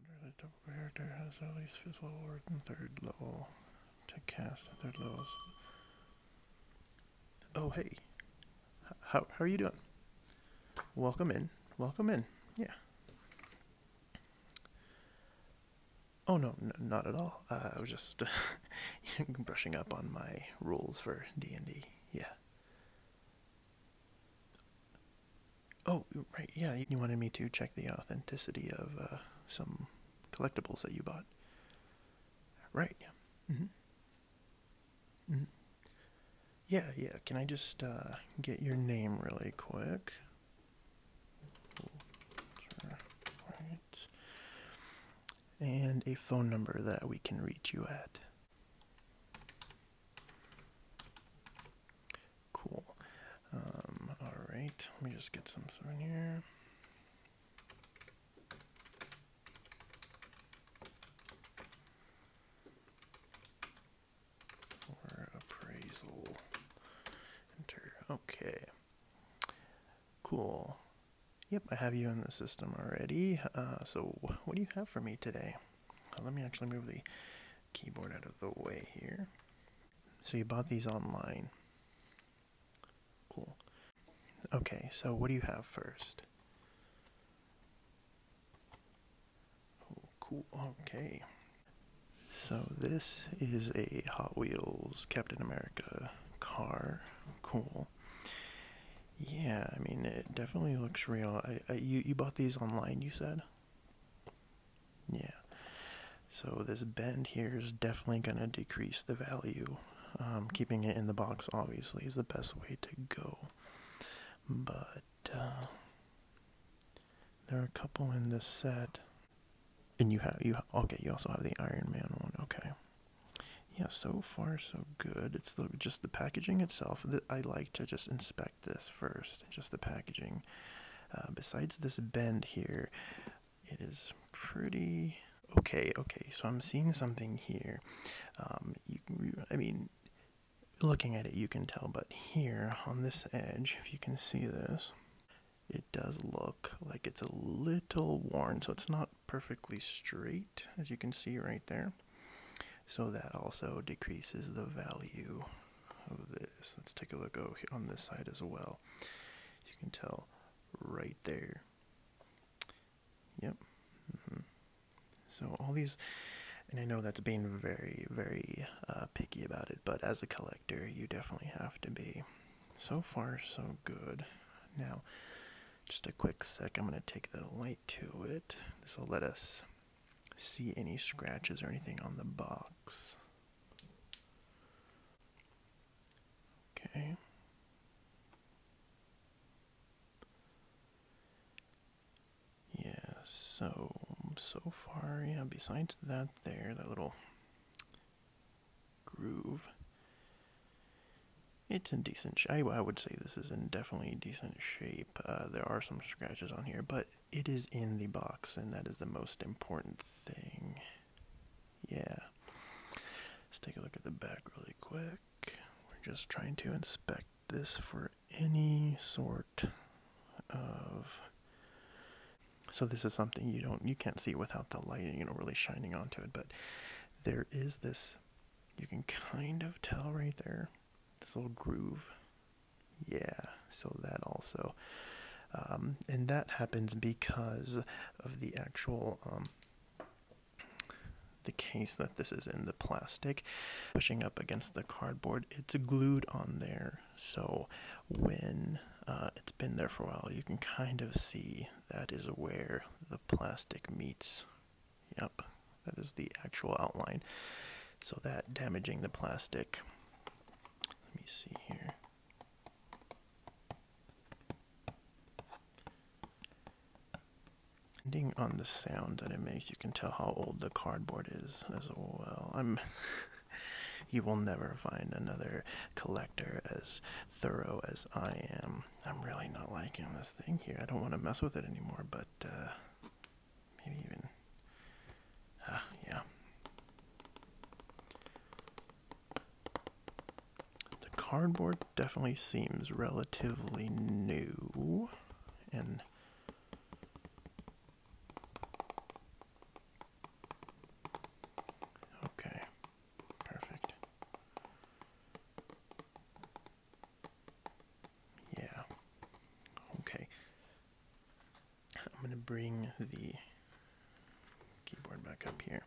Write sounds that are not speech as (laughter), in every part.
Under the typical character has at least fifth level or third level to cast third levels. Oh hey, how how are you doing? Welcome in, welcome in. Yeah. Oh no, not at all. Uh, I was just (laughs) brushing up on my rules for D and D. Yeah. Oh, right. Yeah, you wanted me to check the authenticity of uh, some collectibles that you bought. Right. Yeah. Mm-hmm. mm Yeah, yeah. Can I just uh, get your name really quick? Right. And a phone number that we can reach you at. Cool. Um, all right, let me just get some stuff in here. Or appraisal. Enter. Okay. Cool. Yep, I have you in the system already. Uh, so what do you have for me today? let me actually move the keyboard out of the way here. So you bought these online. Cool. Okay, so what do you have first? Oh, cool. Okay. So this is a Hot Wheels Captain America car. Cool. Yeah, I mean, it definitely looks real. you, you bought these online, you said? Yeah. So this bend here is definitely going to decrease the value. Um, keeping it in the box obviously is the best way to go. But uh, there are a couple in this set. And you have, you okay, you also have the Iron Man one, okay. Yeah, so far so good. It's the, just the packaging itself that I like to just inspect this first, just the packaging. Uh, besides this bend here, it is pretty okay. Okay, so I'm seeing something here. Um, I mean, looking at it, you can tell, but here on this edge, if you can see this, it does look like it's a little worn, so it's not perfectly straight, as you can see right there. So that also decreases the value of this. Let's take a look on this side as well. You can tell right there. Yep. Mm-hmm. So all these, and I know that's being very, very uh, picky about it, but as a collector, you definitely have to be. So far, so good. Now, just a quick sec, I'm going to take the light to it. This will let us see any scratches or anything on the box. Okay. Yeah, so so far, yeah, besides that there, that little groove. It's in decent shape. I, I would say this is in definitely decent shape. Uh, there are some scratches on here, but it is in the box, and that is the most important thing. Yeah. Let's take a look at the back really quick. We're just trying to inspect this for any sort of. So this is something you don't you can't see without the light you know, really shining onto it, but there is this you can kind of tell right there this little groove yeah, so that also. Um, and that happens because of the actual um, the case that this is in the plastic pushing up against the cardboard it's glued on there so when uh, it's been there for a while you can kind of see that is where the plastic meets Yep, that is the actual outline. So that damaging the plastic. Let me see here. Depending on the sound that it makes, you can tell how old the cardboard is as well. I'm (laughs) you will never find another collector as thorough as I am. I'm really not liking this thing here. I don't want to mess with it anymore, but uh, Maybe even. Uh, yeah. The cardboard definitely seems relatively new and Okay. Perfect. Yeah. Okay. I'm going to bring the keyboard back up here.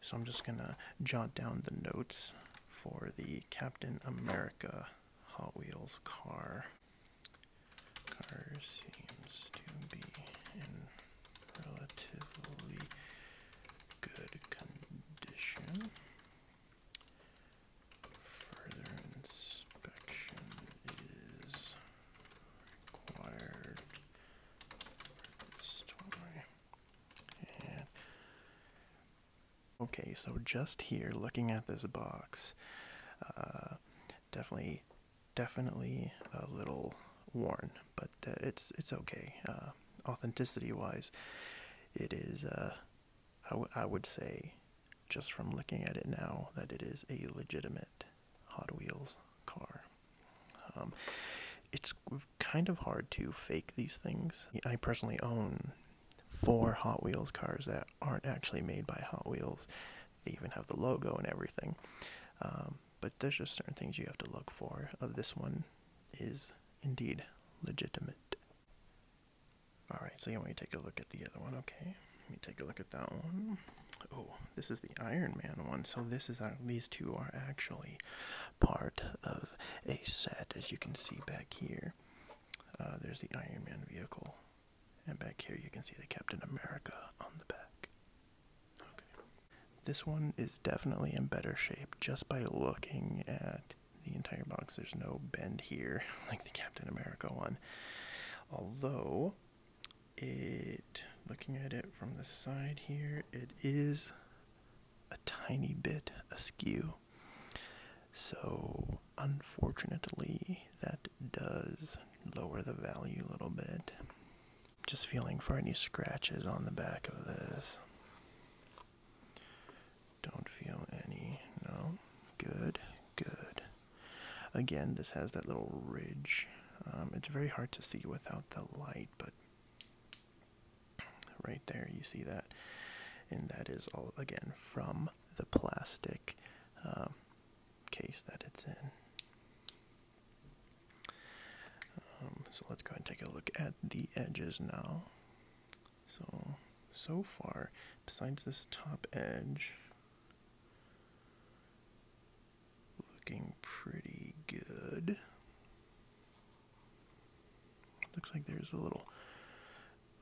So I'm just going to jot down the notes for the Captain America Hot Wheels car. Car seems to be in relatively good condition. Further inspection is required okay, so just here, looking at this box, uh, definitely, definitely a little worn, but uh, it's it's okay. Uh, authenticity-wise, it is I would say, just from looking at it now, that it is a legitimate Hot Wheels car. Um, it's kind of hard to fake these things. I personally own four Hot Wheels cars that aren't actually made by Hot Wheels. They even have the logo and everything. Um, but there's just certain things you have to look for. Uh, this one is indeed legitimate. All right, so you want me to take a look at the other one? Okay, let me take a look at that one. Oh, this is the Iron Man one. So this is uh, these two are actually part of a set, as you can see back here. Uh, there's the Iron Man vehicle, and back here you can see the Captain America on the back. Okay, this one is definitely in better shape just by looking at the entire box. There's no bend here (laughs) like the Captain America one. Although it looking at it from the side here, it is a tiny bit askew. So unfortunately that does lower the value a little bit. Just feeling for any scratches on the back of this. Don't feel any. No. Good. Good. Again, this has that little ridge. Um, it's very hard to see without the light, but right there you see that. And that is all, again, from the plastic um, case that it's in. Um, so let's go and take a look at the edges now. So, so far, besides this top edge, looking pretty good. Looks like there's a little,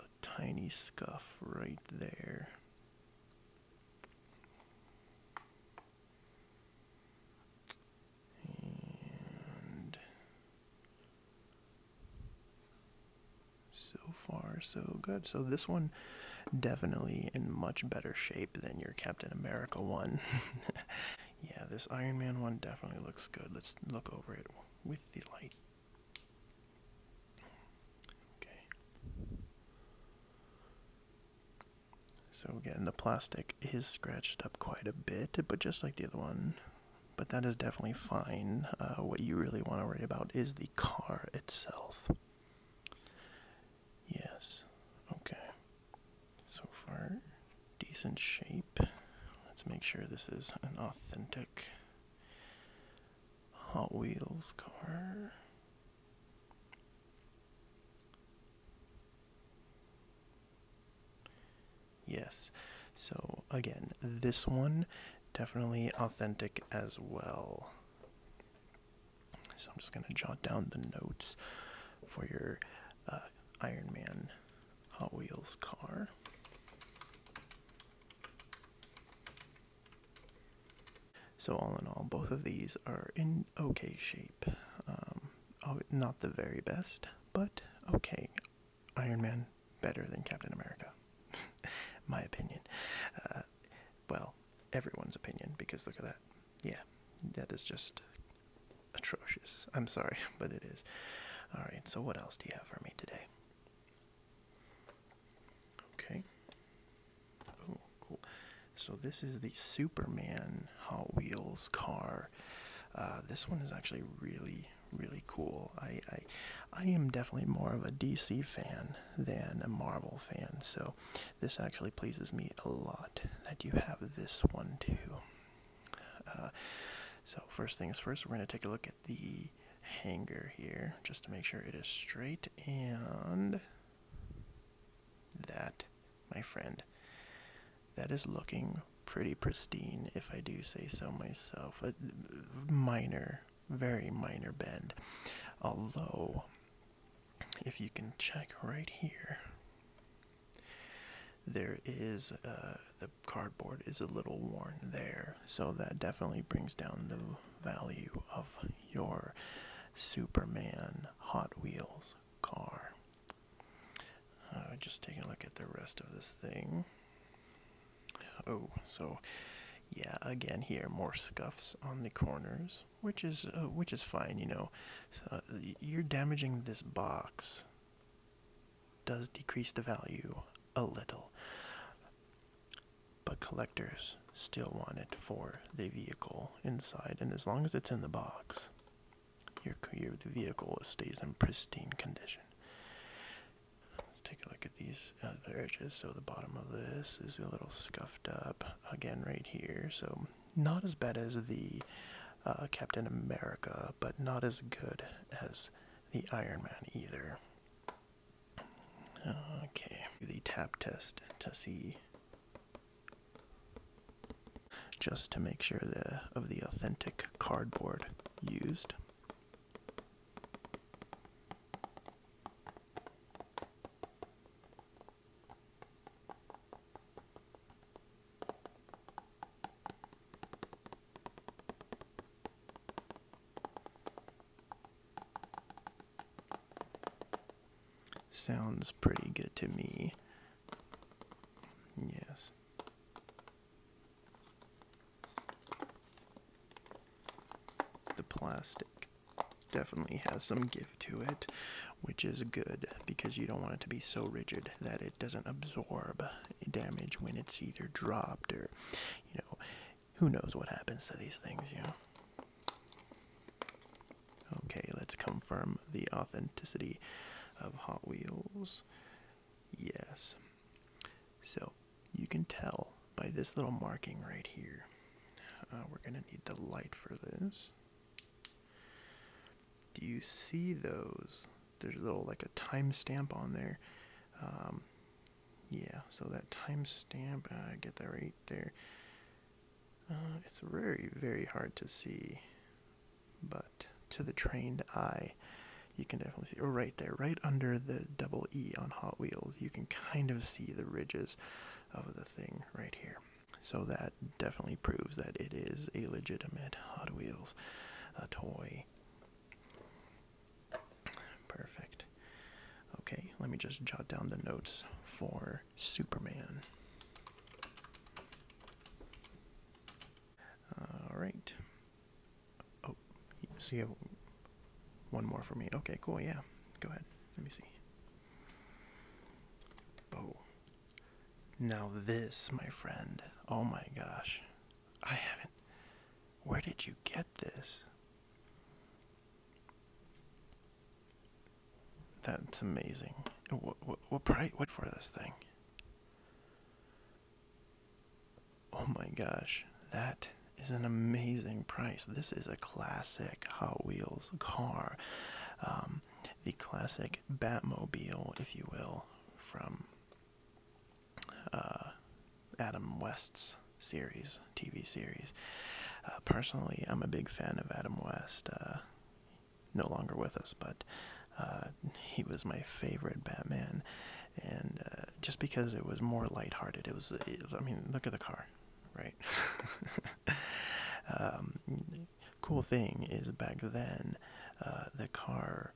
a tiny scuff right there. And so far, so good. So this one definitely in much better shape than your Captain America one. (laughs) yeah, this Iron Man one definitely looks good. Let's look over it with the light. Okay. So again, the plastic is scratched up quite a bit, but just like the other one, but that is definitely fine. Uh, what you really want to worry about is the car itself. Yes, okay. So far, decent shape. Let's make sure this is an authentic Hot Wheels car. Yes. So, again, this one definitely authentic as well. So, I'm just going to jot down the notes for your uh, Iron Man Hot Wheels car. So, all in all, both of these are in okay shape. Um, not the very best, but okay. Iron Man better than Captain America. (laughs) My opinion. Uh, well, everyone's opinion, because look at that. Yeah, that is just atrocious. I'm sorry, (laughs) but it is. Alright, so what else do you have for me today? Okay. Oh, cool. So this is the Superman Hot Wheels car uh, this one is actually really, really cool. I, I, am definitely more of a DC fan than a Marvel fan, so this actually pleases me a lot that you have this one too. Uh, so first things first, we're going to take a look at the hanger here just to make sure it is straight and that, my friend, that is looking pretty pristine, if I do say so myself. A minor, very minor bend. Although, if you can check right here, there is uh, the cardboard is a little worn there, so that definitely brings down the value of your Superman Hot Wheels car. Uh, just take a look at the rest of this thing. Oh, so yeah, again here more scuffs on the corners, which is uh, which is fine, you know. So uh, you're damaging this box. Does decrease the value a little, but collectors still want it for the vehicle inside, and as long as it's in the box, your, the vehicle stays in pristine condition. Let's take a look at these other edges. So the bottom of this is a little scuffed up again right here. So not as bad as the uh, Captain America, but not as good as the Iron Man either. Okay, the tap test to see just to make sure the, of the authentic cardboard used. Sounds pretty good to me. Yes. The plastic definitely has some give to it, which is good because you don't want it to be so rigid that it doesn't absorb damage when it's either dropped or, you know, who knows what happens to these things, you know. Okay, let's confirm the authenticity of Hot Wheels. Yes. So you can tell by this little marking right here. Uh, we're going to need the light for this. Do you see those? There's a little like a timestamp on there. Um, yeah, so that timestamp, uh, I get that right there. Uh, it's very, very hard to see but to the trained eye, you can definitely see. Or oh, right there, right under the double E on Hot Wheels, you can kind of see the ridges of the thing right here. So that definitely proves that it is a legitimate Hot Wheels a toy. Perfect. Okay, let me just jot down the notes for Superman. All right. Oh, so you have one more for me. Okay, cool. Yeah, go ahead. Let me see. Bow. Oh. Now this, my friend. Oh my gosh. I haven't. Where did you get this? That's amazing. What, what, what price? What for this thing? Oh my gosh, that is an amazing price. This is a classic Hot Wheels car, um, the classic Batmobile, if you will, from uh, Adam West's series, TV series. Uh, personally, I'm a big fan of Adam West. Uh, no longer with us, but uh, he was my favorite Batman, and uh, just because it was more lighthearted, it was. I mean, look at the car, right? (laughs) Um, cool thing is back then, uh, the car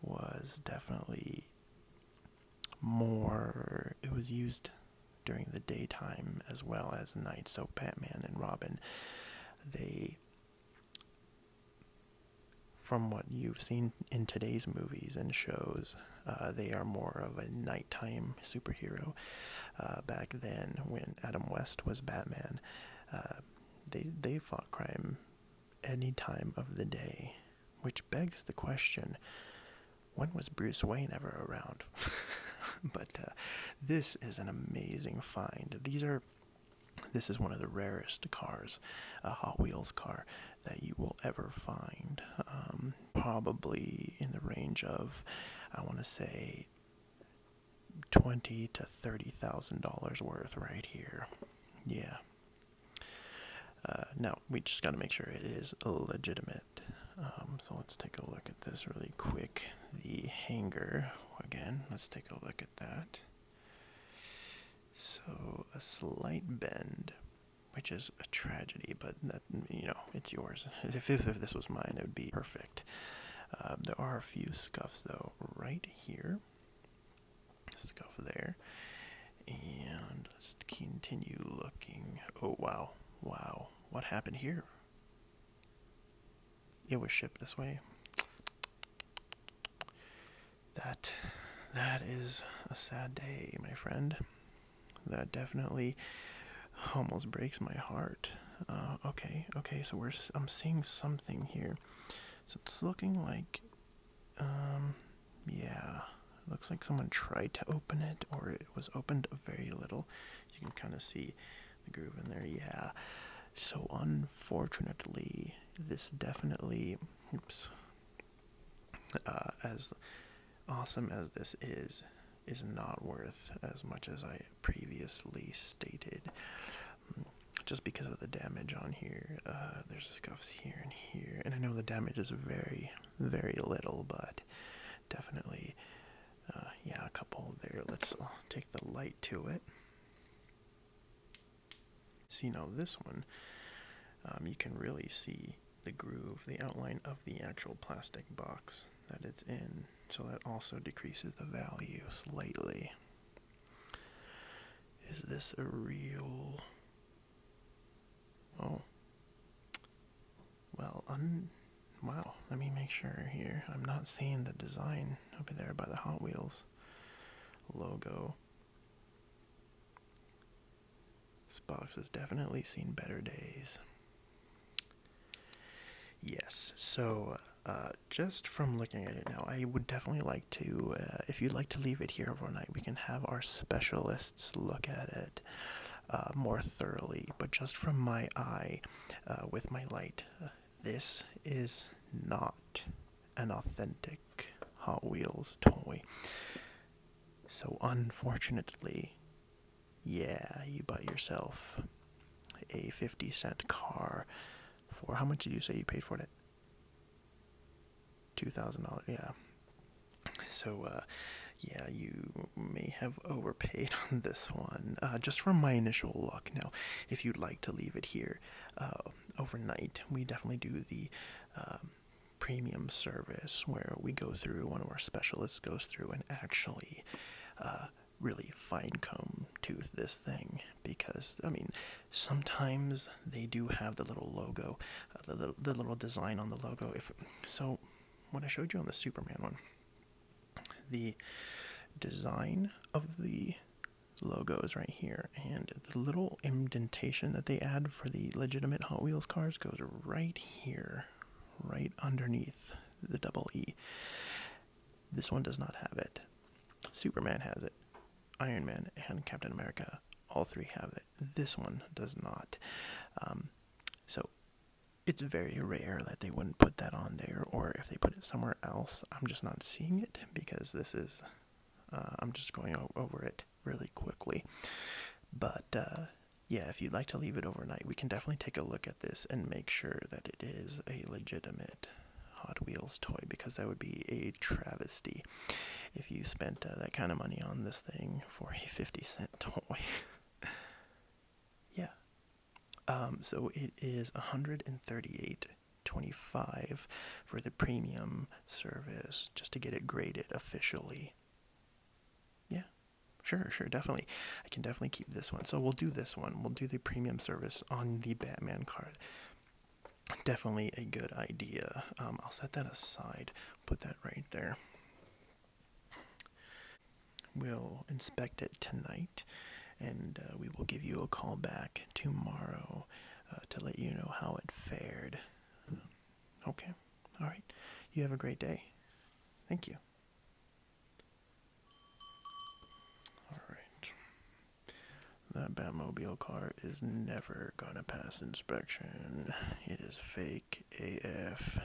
was definitely more. It was used during the daytime as well as night. So Batman and Robin, they from what you've seen in today's movies and shows, uh, they are more of a nighttime superhero. Uh, back then, when Adam West was Batman, uh, they they fought crime any time of the day, which begs the question: When was Bruce Wayne ever around? (laughs) but this is an amazing find. These are this is one of the rarest cars, a Hot Wheels car, that you will ever find. Um, probably in the range of, I want to say, twenty to thirty thousand dollars worth right here. Yeah. Uh, now we just got to make sure it is legitimate. Um, so let's take a look at this really quick. The hanger again. Let's take a look at that. So a slight bend, which is a tragedy, but that, you know it's yours. (laughs) if, if, this was mine, it would be perfect. Um, there are a few scuffs though, right here. Scuff there, and let's continue looking. Oh wow, wow! What happened here? it was shipped this way. That that is a sad day, my friend. That definitely almost breaks my heart. Uh, okay, okay, so we're I'm seeing something here. So it's looking like, um, yeah, looks like someone tried to open it, or it was opened very little. You can kind of see groove in there. Yeah. So unfortunately, this definitely. Oops. Uh, as awesome as this is, is not worth as much as I previously stated. Just because of the damage on here, uh, there's scuffs here and here, and I know the damage is very, very little, but definitely, uh, yeah, a couple there. Let's take the light to it. See now this one, um, you can really see the groove, the outline of the actual plastic box that it's in, so that also decreases the value slightly. Is this a real? Oh. Well, un Wow, let me make sure here. I'm not seeing the design over there by the Hot Wheels logo. This box has definitely seen better days. Yes, so uh, just from looking at it now, I would definitely like to, uh, if you'd like to leave it here overnight, we can have our specialists look at it. Uh, more thoroughly, but just from my eye with my light, this is not an authentic Hot Wheels toy. So, unfortunately, yeah, you bought yourself a 50 cent car for how much did you say you paid for it? $2,000, yeah. So, uh, yeah, you may have overpaid (laughs) on this one, uh, just from my initial look. Now, if you'd like to leave it here uh, overnight. We definitely do the um, premium service where we go through, one of our specialists goes through and actually uh, really fine comb tooth this thing because I mean sometimes they do have the little logo, uh, the, the little design on the logo. If so, what I showed you on the Superman one, the design of the logos right here and the little indentation that they add for the legitimate Hot Wheels cars goes right here, right underneath the double E. This one does not have it. Superman has it. Iron Man and Captain America, all three have it. This one does not. Um, so it's very rare that they wouldn't put that on there, or if they put it somewhere else, I'm just not seeing it because this is, uh, I'm just going over it really quickly. But uh, yeah, if you'd like to leave it overnight, we can definitely take a look at this and make sure that it is a legitimate Hot Wheels toy because that would be a travesty if you spent uh, that kind of money on this thing for a 50 cent toy. (laughs) Yeah. Um, so it is 138.25 for the premium service just to get it graded officially. Yeah. Sure, sure, definitely. I can definitely keep this one. So we'll do this one. We'll do the premium service on the Batman card. Definitely a good idea. Um, I'll set that aside. Put that right there. We'll inspect it tonight and uh, we will give you a call back tomorrow uh, to let you know how it fared. Okay. All right. You have a great day. Thank you. All right. That Batmobile car is never going to pass inspection. It is fake AF.